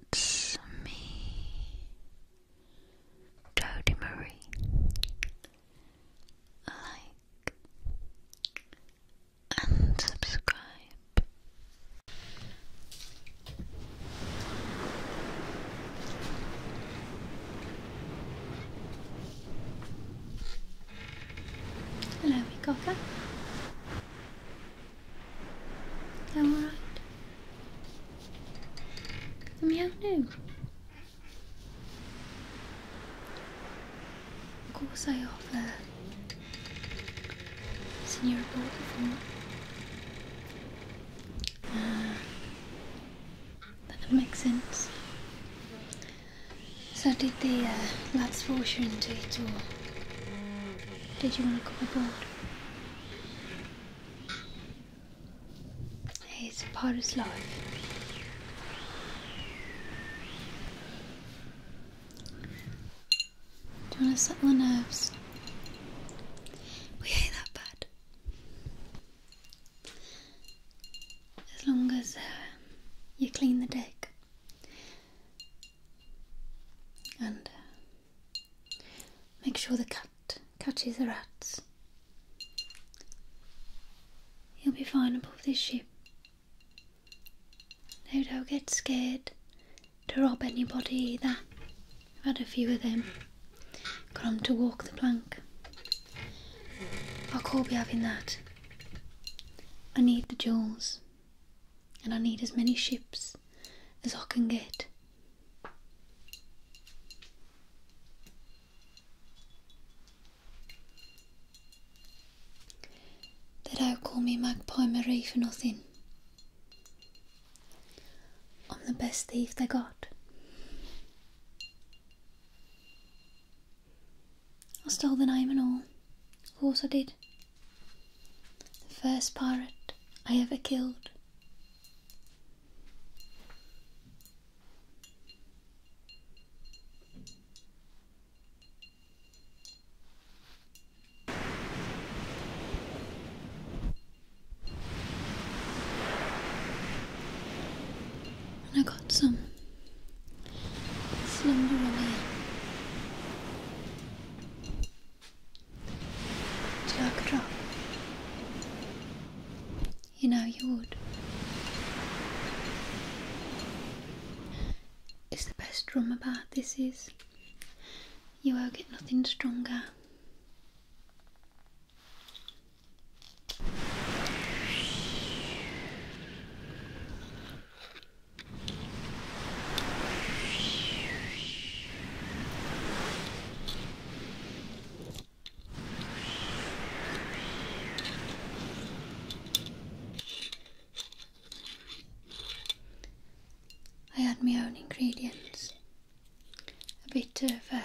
It's me, Dodie Marie. Like and subscribe. Hello, Cocker. Alright. The meow knew. Of course I offer senior board before. Uh, that makes sense. So did the uh, lads fortune to it or did you want to come aboard? Hey, it's a part of life. Do you want to set the nerves? We hate that bird. As long as uh, you clean the deck and uh, make sure the cat catches the rats. He'll be fine above this ship. No, don't get scared to rob anybody either. I've had a few of them. Got 'em to walk the plank. I will call. be having that. I need the jewels and I need as many ships as I can get. They don't call me Magpie Marie for nothing. I'm the best thief they got. I stole the name and all. Of course I did. The first pirate I ever killed. I got some Jack drop. You know you would. It's the best drum about this is you will get nothing stronger. I add my own ingredients a bit of uh,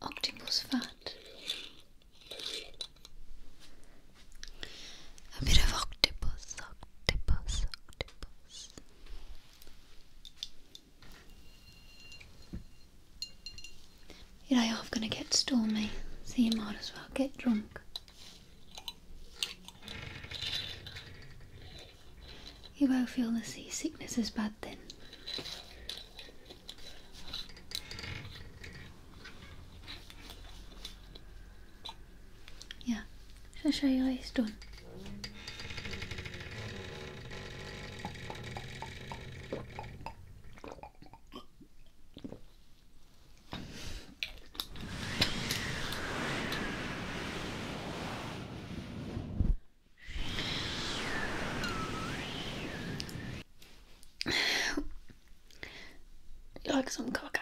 octopus fat, a bit of octopus, octopus, octopus. Your day off gonna get stormy, so you might as well get drunk. You won't feel the seasickness as bad then. Yeah, I'll show you how he's done like some cocker.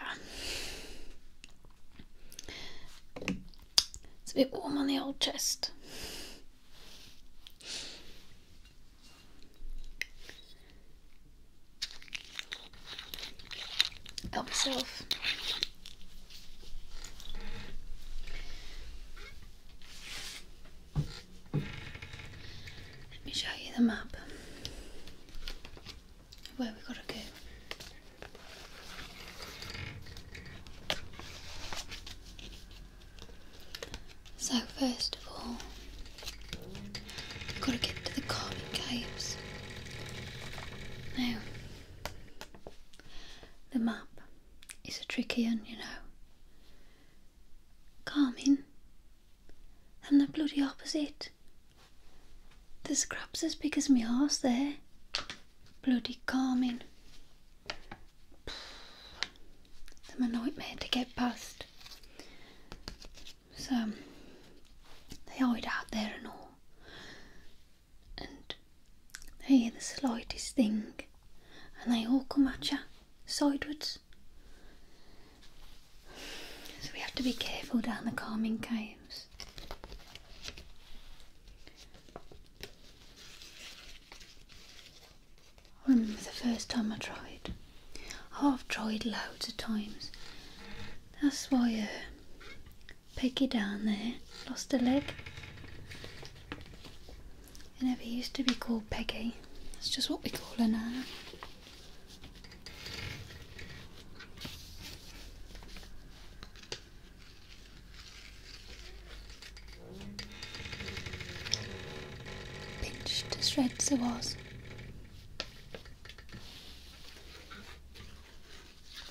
It's a bit warm on the old chest. Help yourself. Let me show you the map where we gotta go. So first of all, we've got to get to the Carmin Caves. Now, the map is a tricky one, you know. Carmin. And the bloody opposite. The scrap's as big as me arse there. Bloody calming. Them a nightmare to get past. So, they hide out there and all. And they hear the slightest thing. And they all come at you sideways. So we have to be careful down the calming caves. I remember the first time I tried. Oh, I've tried loads of times. That's why uh, Peggy down there lost a leg. It never used to be called Peggy. That's just what we call her now. Pinched to shreds it was.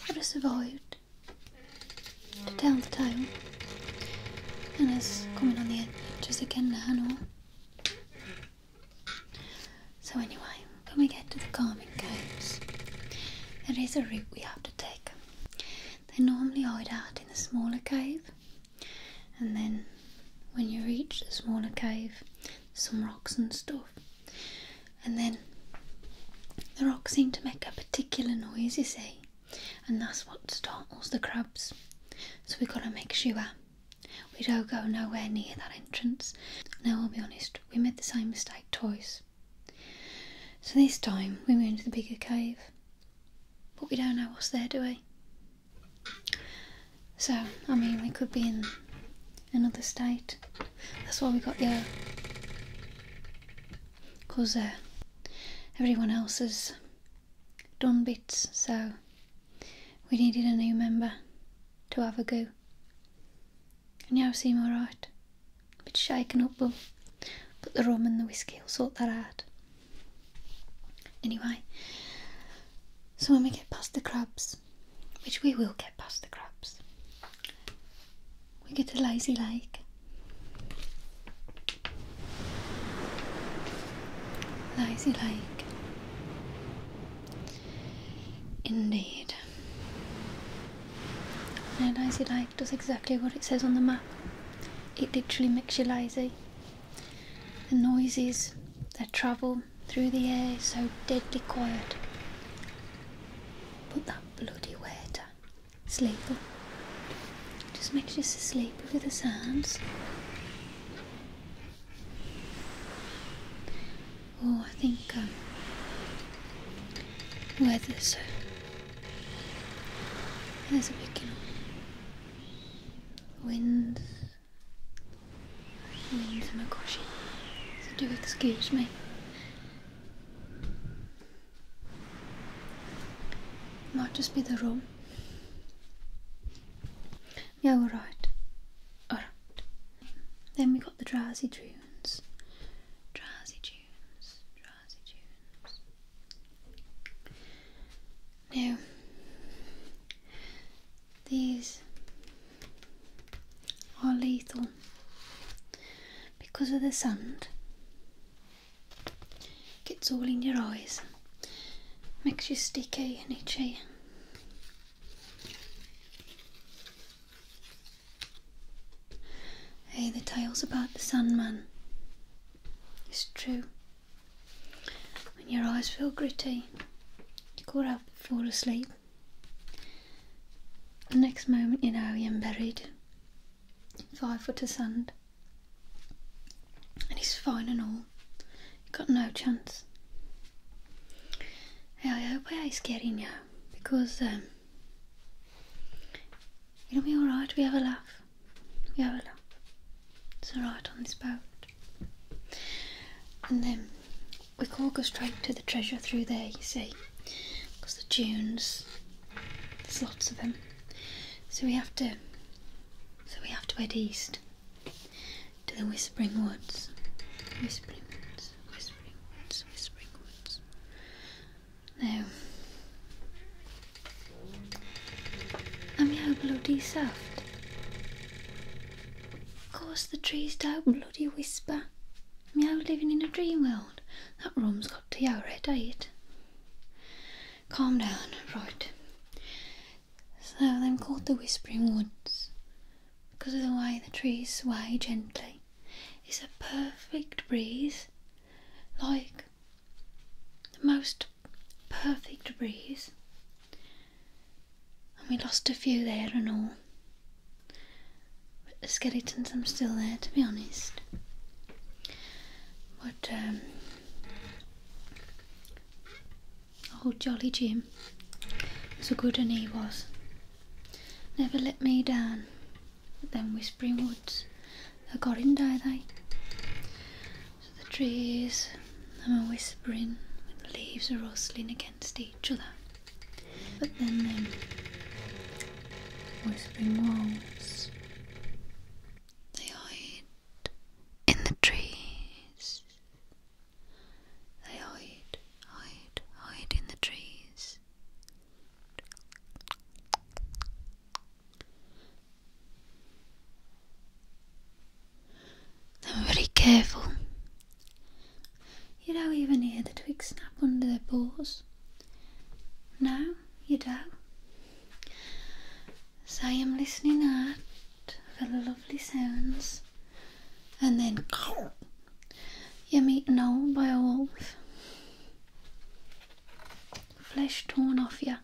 But it survived to tell the tale and is coming on the edge. edges again now. So anyway, can we get to the calming caves? there is a route we have to take. They normally hide out in the smaller cave, and then when you reach the smaller cave, some rocks and stuff, and then the rocks seem to make a particular noise, you see, and that's what startles the crabs. So we've got to make sure we don't go nowhere near that entrance. Now, I'll be honest, we made the same mistake twice. So this time we went into the bigger cave. But we don't know what's there, do we? So, I mean, we could be in another state. That's why we got the Because uh, everyone else has done bits, so we needed a new member to have a go. And now I seem alright. Bit shaken up, but, but the rum and the whiskey will sort that out. Anyway, so when we get past the crabs, which we will get past the crabs, we get to Lazy Lake. Lazy Lake. Indeed. And Lazy Lake does exactly what it says on the map. It literally makes you lazy. The noises that travel through the air so deadly quiet. But that bloody waiter, sleeper, just makes you sleep over the sounds. Oh, I think um, weather's there's a big you Winds wind, wind in oh my gosh. So do excuse me. Might just be the room. Yeah, Alright. Then we got the drowsy tunes. Drowsy tunes, drowsy tunes. Now, these are lethal because of the sand. Gets all in your eyes, makes you sticky and itchy. Hey, the tale's about the Sandman. It's true. When your eyes feel gritty, you call out but fall asleep. The next moment you know you're buried five foot of sand. And he's fine and all got no chance. I hope I is getting you because um, it'll be alright. We have a laugh. We have a laugh. It's alright on this boat. And then we can all go straight to the treasure through there, you see, because the dunes, there's lots of them. So we have to, so we have to head east to the Whispering Woods. Whispering Woods, Whispering Woods, Whispering Woods. Now, I'm how bloody soft. Of course, the trees don't bloody whisper. Meow living in a dream world. That room has got to your head, ain't it? Calm down, right. So I'm called the Whispering Woods because of the way the trees sway gently. It's a perfect breeze, like the most perfect breeze. And we lost a few there and all. But the skeletons are still there, to be honest. But um, Oh, jolly Jim, so good an he was. Never let me down. But them whispering woods, thou got in die thy. So the trees, I'm a whispering, when the leaves are rustling against each other. But then them whispering woods, they hide in the trees. They hide, hide, hide in the trees. They're very careful. You don't even hear the twigs snap under their paws. No, you don't. So I am listening hard the lovely sounds. And then you're eaten whole by a wolf. Flesh torn off you.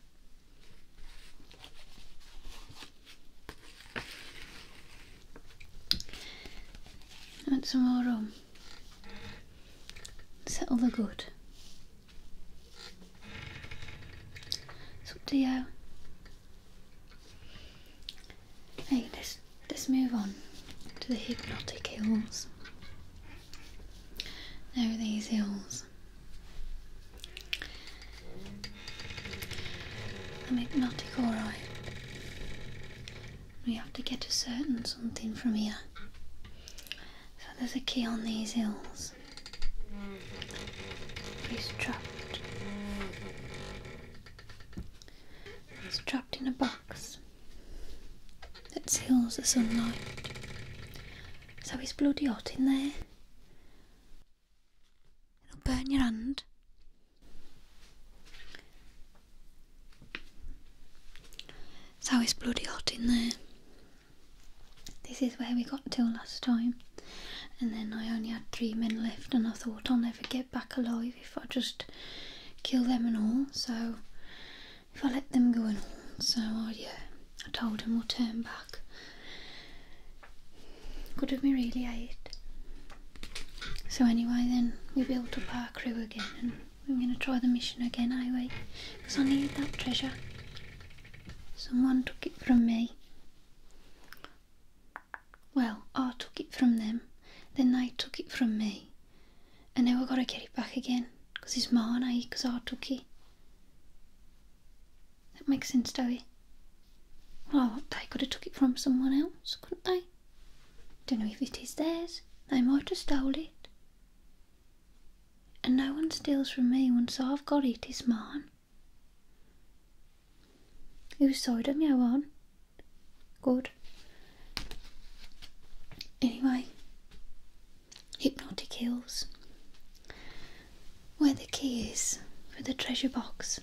And tomorrow, settle the good. It's up you. Hey, let's, let's move on to the hypnotic hills. There are these hills. I'm hypnotic, alright. We have to get a certain something from here. So there's a key on these hills. He's dropped. He's trapped in a box that seals the sunlight. So he's bloody hot in there. It'll burn your hand. So it's bloody hot in there. This is where we got to last time. And then I only had three men left, and I thought I'll never get back alive if I just kill them and all. So if I let them go and all, so I, yeah, I told him we'll turn back. Good of me, really, ate. So anyway, then we built up our crew again, and we're going to try the mission again anyway, because I need that treasure. Someone took it from me. Well, I took it from them, then they took it from me, and now I've got to get it back again because it's mine, eh? Because I took it. That makes sense, does Well, they could have took it from someone else, couldn't they? Don't know if it is theirs. They might have stole it. And no one steals from me once I've got it, it's mine. You sewed them, yeah, one. Good. Anyway, hypnotic hills. Where the key is for the treasure box.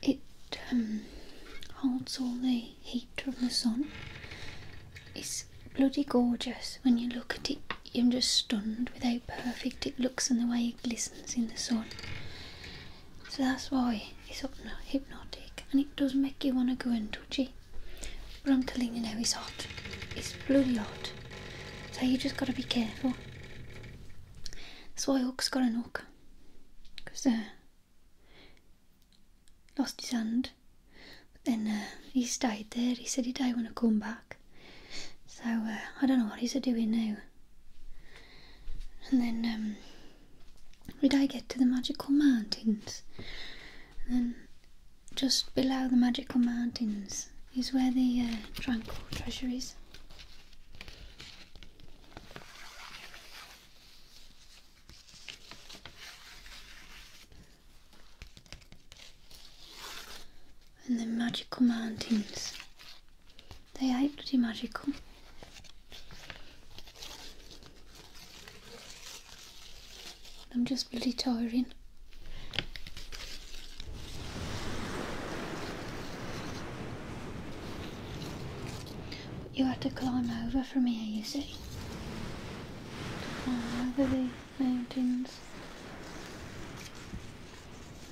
It um, holds all the heat from the sun. It's bloody gorgeous when you look at it I'm just stunned with how perfect it looks and the way it glistens in the sun. So that's why it's hypnotic and it does make you want to go and touch it. But I'm telling you now, it's hot. It's bloody hot. So you just got to be careful. That's why Hook's got an hook. he lost his hand. But then uh, he stayed there. He said he didn't want to come back. So uh, I don't know what he's doing now. And then um, did I get to the magical mountains? And then just below the magical mountains is where the uh, tranquil treasure is and the magical mountains. They are pretty magical. I'm just bloody tiring. you have to climb over from here, you see mountains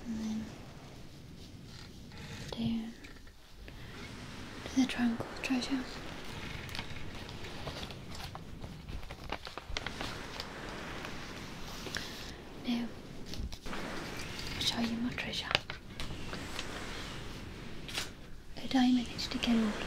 and then down to the Triangle of Treasure. Now, I'll show you my treasure. But I managed to get all of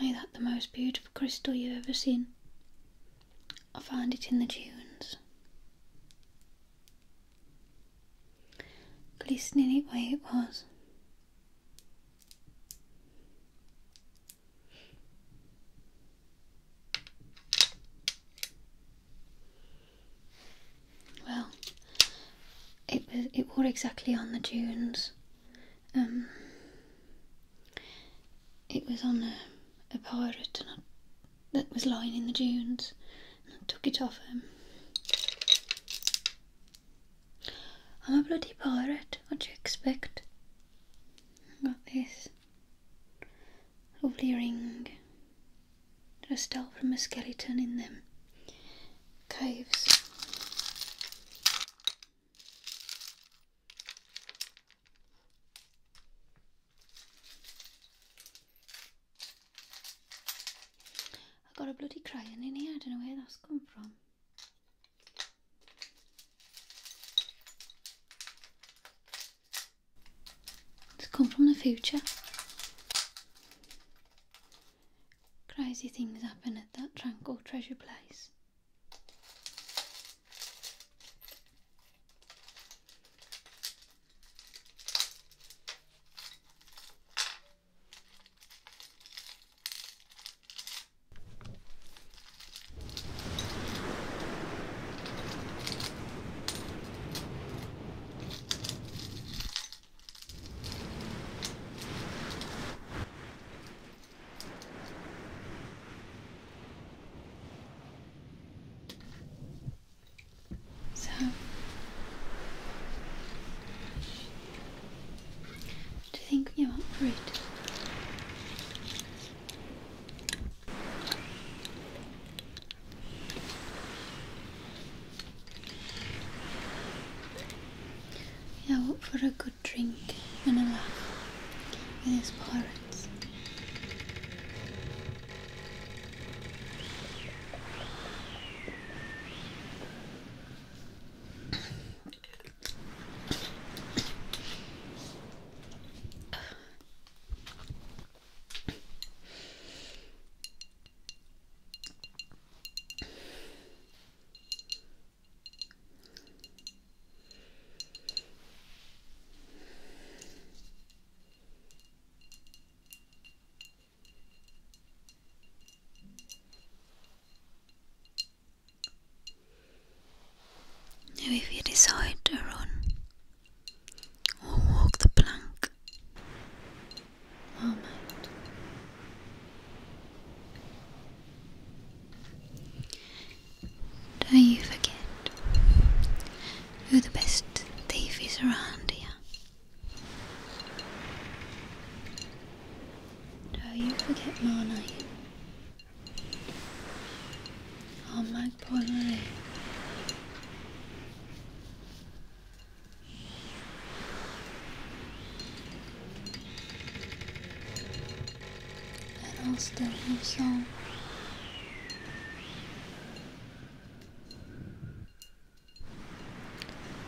Ain't that the most beautiful crystal you've ever seen? I found it in the dunes. Glistening it way it was. Well, it was it wore exactly on the dunes. Um, it was on a, pirate that was lying in the dunes, I took it off him. Um, I'm a bloody pirate. What do you expect? I got this lovely ring that I stole from a skeleton in them caves. I've got a bloody crying in here, I don't know where that's come from. It's come from the future. Crazy things happen at that tranquil treasure place. So do you think you want fruit? Yeah, for a good drink and a laugh with his pirates. Now, if you decide to run or walk the plank, moment. Don't you forget who the best thief is around here. Don't you forget Marnie. I'll make Marnie and I'll still have some.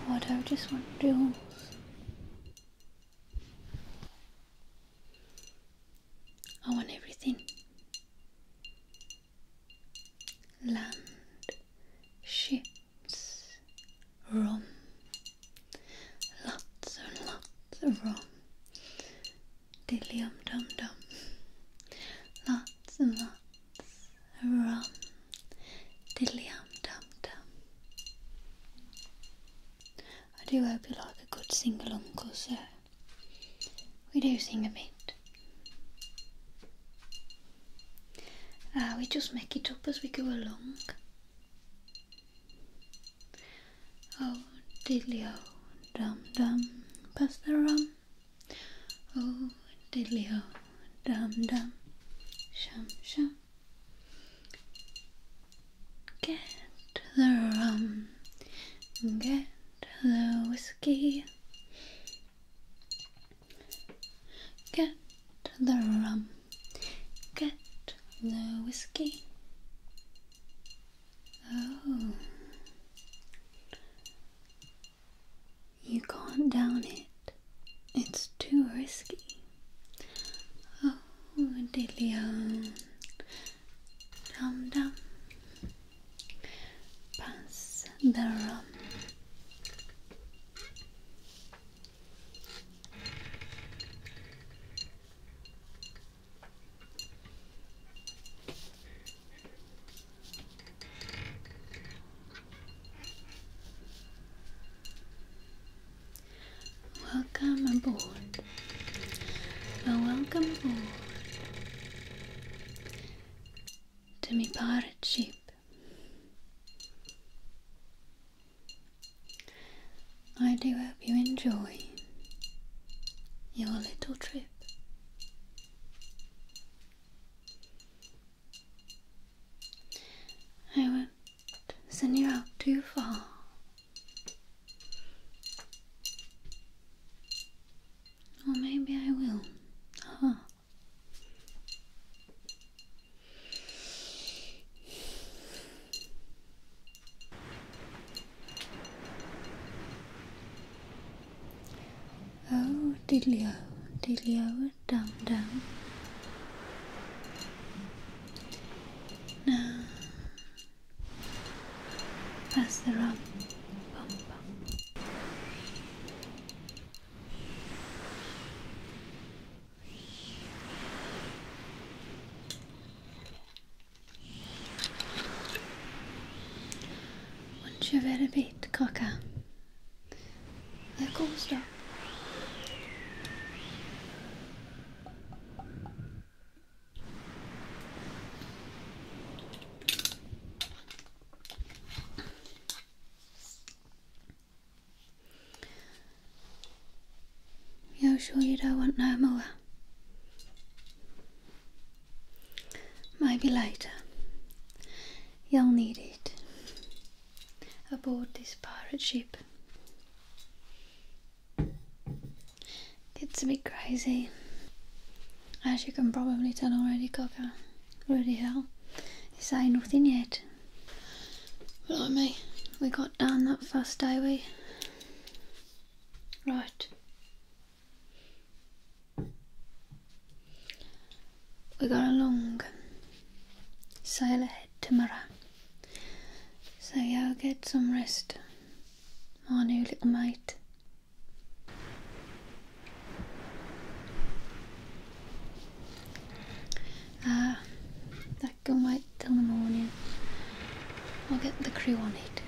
What I just want to do. I want everything land, ships, rum, lots and lots of rum, dillium dum dum, lots and lots of rum, dillium dum dum. I do hope you like a good single uncle, sir. We do sing a bit. Ah, we just make it up as we go along. Oh, diddly-o, oh, dum-dum, pass the rum. Oh, diddly-o, oh, dum-dum, shum-shum. Get the rum, get the whiskey. Get the rum, get the whiskey. Oh, you can't down it, it's too risky. Oh, de dum dum pass the rum. Welcome aboard. Well, welcome aboard to my pirate ship. I do hope you enjoy your little trip. I won't send you out too far. Or maybe I will. Ah. Oh, Dilio, Dilio, dum dum. Now, pass the rum. Bum, bum. Wouldn't you rather be the cocker? There goes dog. You're sure you don't want no more? Maybe later. You'll need it aboard this pirate ship. It's a bit crazy, as you can probably tell already, Cocker. Bloody hell. It's ain't nothing yet. me, we got down that first day we? Right. We got along sail ahead tomorrow. So yeah, I'll get some rest. My new little mate. Ah, that can wait till the morning. I'll get the crew on it.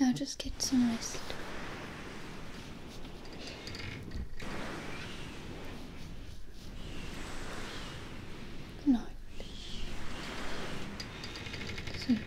Yeah, just get some rest. Good night. Sweet